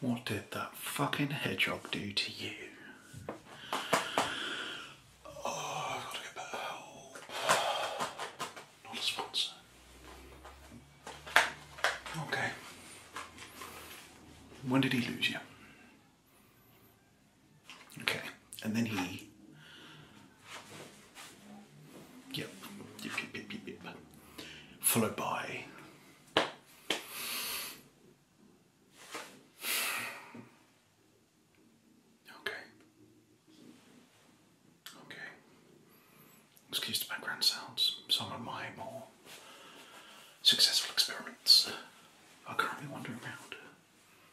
What did that fucking hedgehog do to you? Oh, I've got to get better help. Not a sponsor. Okay. When did he lose you? Okay and then he. Yep. Yep, yep, yep, yep, yep. Followed by. Okay. Okay. Excuse the background sounds. Some of my more successful experiments are currently wandering around.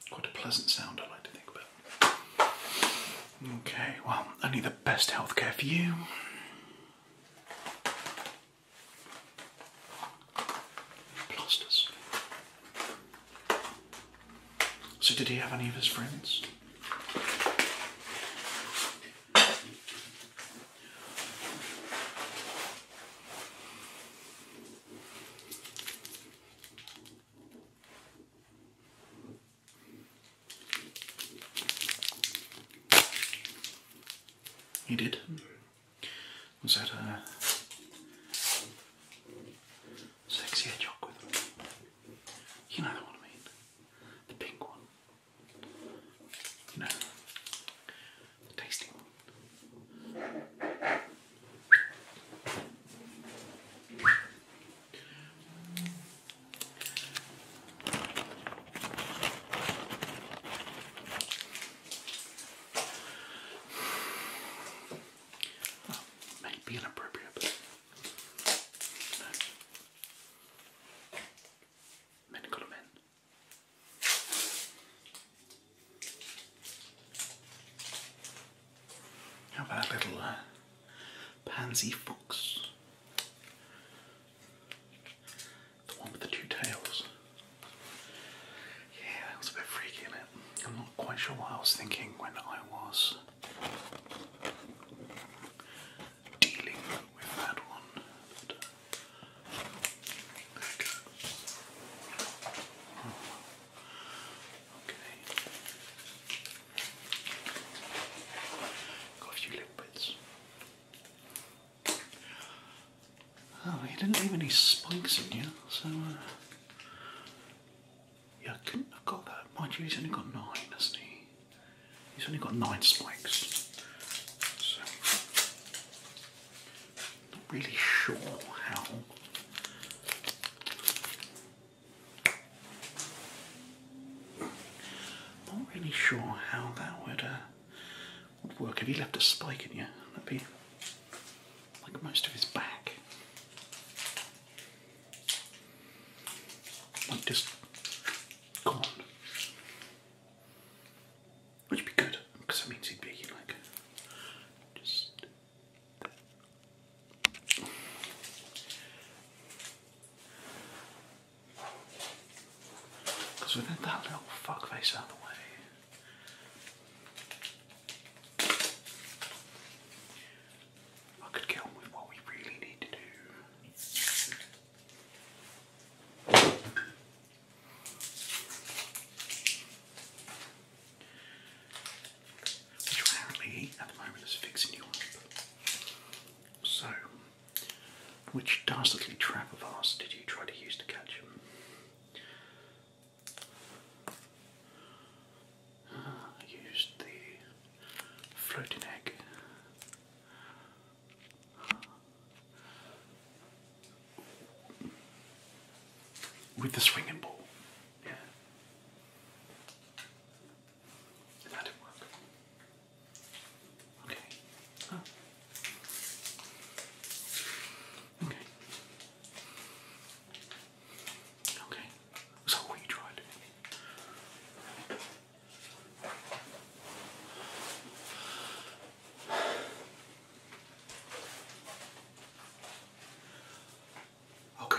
Quite a pleasant sound, I like to think about. Okay, well, only the best healthcare for you. Plasters. So, did he have any of his friends? He did? Was that a uh, sexy hedgehog with them? You know the one I mean. The pink one. You the tasty one. Well, might inappropriate, Men got a men. How about a little uh, pansy fox? The one with the two tails. Yeah, that was a bit freaky in it. I'm not quite sure what I was thinking when I was dealing with that one. But, uh, okay. Okay. Got a few Oh, you didn't leave any spikes in you, so uh, yeah, I couldn't have got that. Mind you, he's only got nine, hasn't he? He's only got nine spikes. So, not really sure how not really sure how that would uh, would work. If he left a spike in you, that'd be like most of his back. Like just gone. would be good, because that means he'd be like just because we need that little fuckface out of the way. I could get with what we really need to do which apparently at the moment is fixing you up. So, which dastardly trap of ours did you try to use to catch him? Ah, I used the floating egg. With the swinging ball. Yeah. that didn't work. Okay. Oh. Okay. Okay. So what tried? Okay.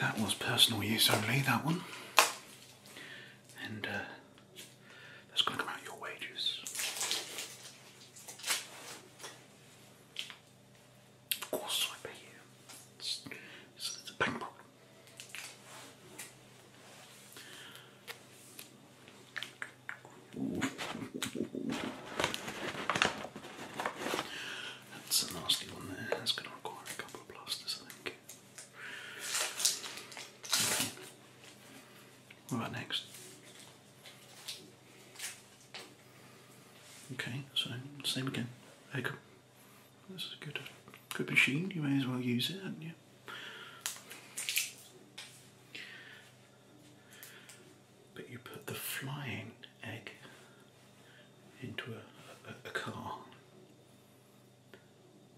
That was personal use only, that one. And uh, that's going to come your wages. Of course, I pay you. It's, it's, a bank problem. That's a nasty one there. That's going to require a couple of plasters, I think. Okay. What about next? Okay, so same again. Echo. This is a good, good machine. You may as well use it, hadn't you? but you put the flying egg into a, a, car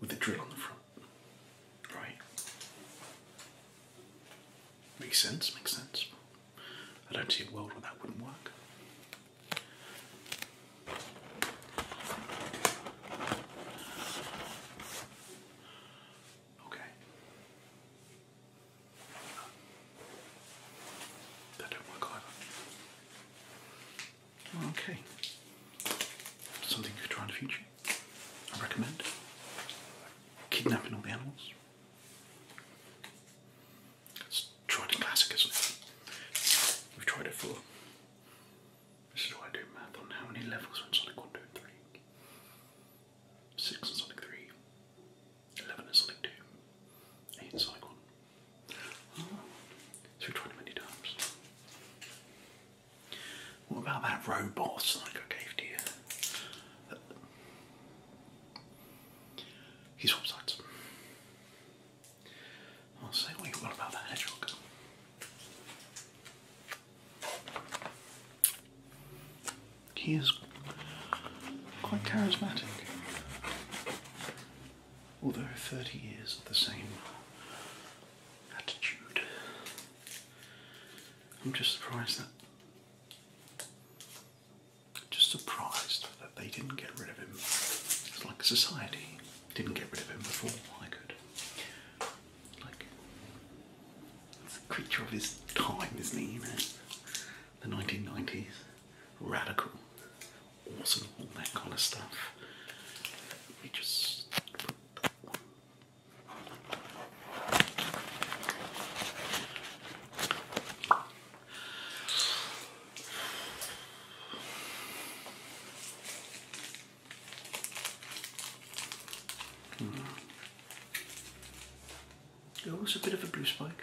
with a drill on the front. Right? Makes sense, makes sense. I don't see a world where that wouldn't work. Okay. That don't Okay. Something you try in the future. I recommend kidnapping all the animals. It's tried and classic, is We've tried it for. This is why I do math on how many levels are in Sonic 1, 2, and 3. 6 is Sonic 3, 11 is Sonic 2, 8 is Sonic 1. so we many times. What about that robot Sonic I gave to you? He swaps I'll say what about that hedgehog. He is quite charismatic. Although 30 years of the same attitude, I'm just surprised that. Just surprised that they didn't get rid of him. It's like society didn't get rid of him before I could. It's a creature of his time, isn't he? You know, the 1990s, radical, awesome, all that kind of stuff. We just put that one. Hmm. There was a bit of a blue spike.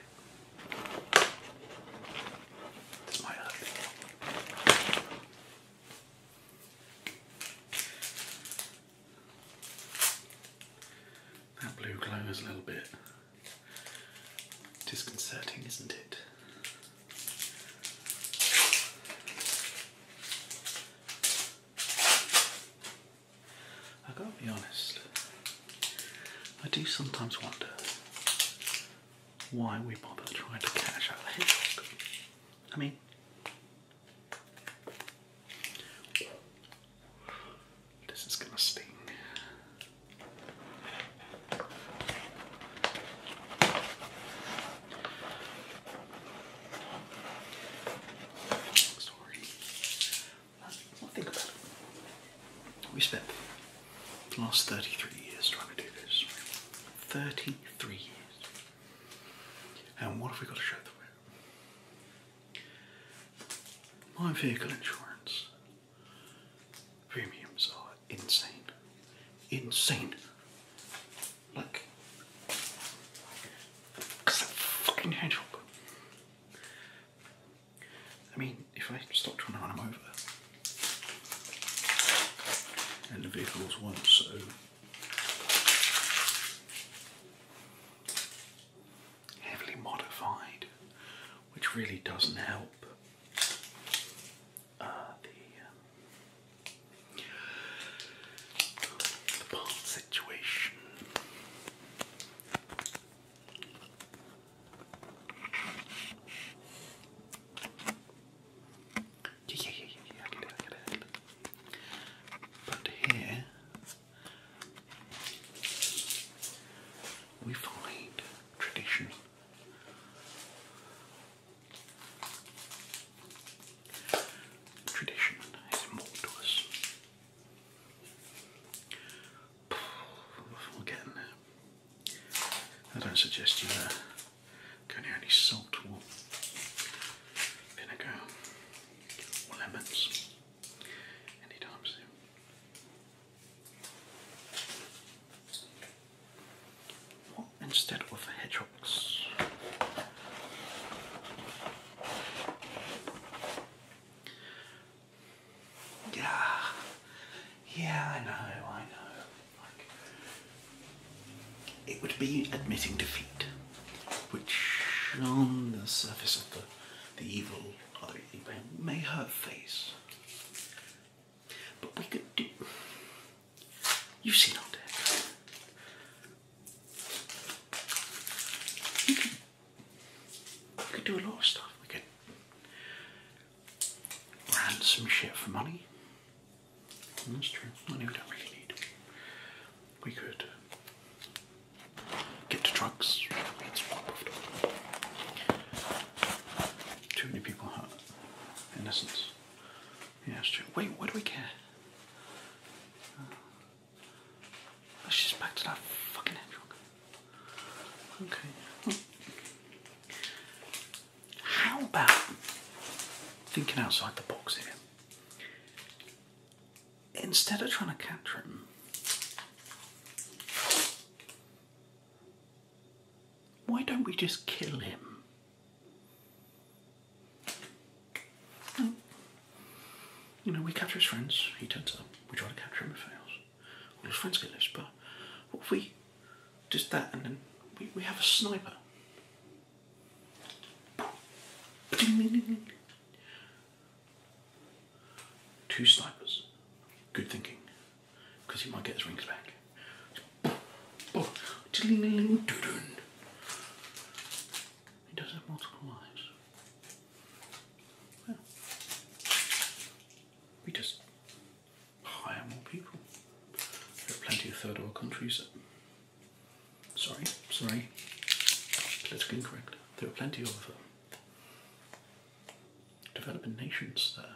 That blue glow is a little bit disconcerting, isn't it? I gotta be honest, I do sometimes wonder why we bother trying to catch out I mean, this is gonna sting we spent the last 33 years trying to do this. 33 years. And what have we got to show for it? My vehicle insurance premiums are insane. Insane. Like, because i fucking hedgehog. I mean, if I stop trying to run them over, and the vehicles won't, so. Heavily modified, which really doesn't help uh, um, the bomb situation. Yeah, yeah, yeah, yeah, yeah, I get it, But here we find tradition. Tradition is important to us. we I don't suggest you uh, go near any salt or vinegar lemons anytime soon. instead of a hedge yeah, yeah, I know, I know. Like, it would be admitting defeat, which on the surface of the, the evil other may hurt face. But we could do. You've seen all that. We could do a lot of stuff. We could ransom shit for money. Mm, that's true. Money we don't really need. We could get to drugs. Too many people hurt. Innocence. Yeah, that's true. Wait, what do we care? Let's just back to that fucking hedgehog. Okay. how about thinking outside the box here? Instead of trying to catch him, why don't we just kill him? you know, we capture his friends, he turns up, we try to capture him, it fails. All his friends get loose, but if we just that and then we, we have a sniper? Two snipers. Good thinking. Because he might get his rings back. He does have multiple lives. we just hire more people. There are plenty of third world countries sorry, sorry, politically incorrect. There are plenty of um, developing nations there.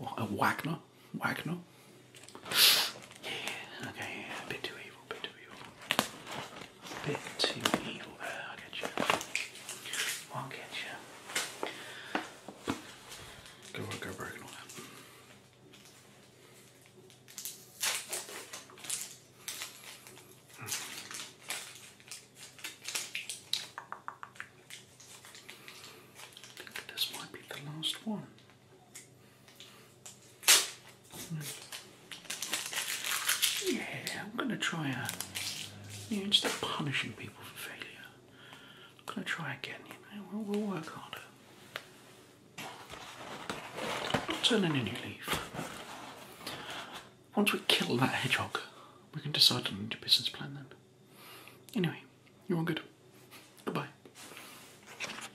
Well, uh, Wagner, Wagner, yeah, okay, yeah, a bit too evil, bit too evil. Bit too evil there, I'll get you. i get you. Go, go, broken all that. Hmm. This might be the last one. Yeah, I'm going to try a. You know, punishing people for failure, I'm going to try again. You know, we'll, we'll work harder. Not turning a new leaf. Once we kill that hedgehog, we can decide on a new business plan then. Anyway, you're all good. Goodbye.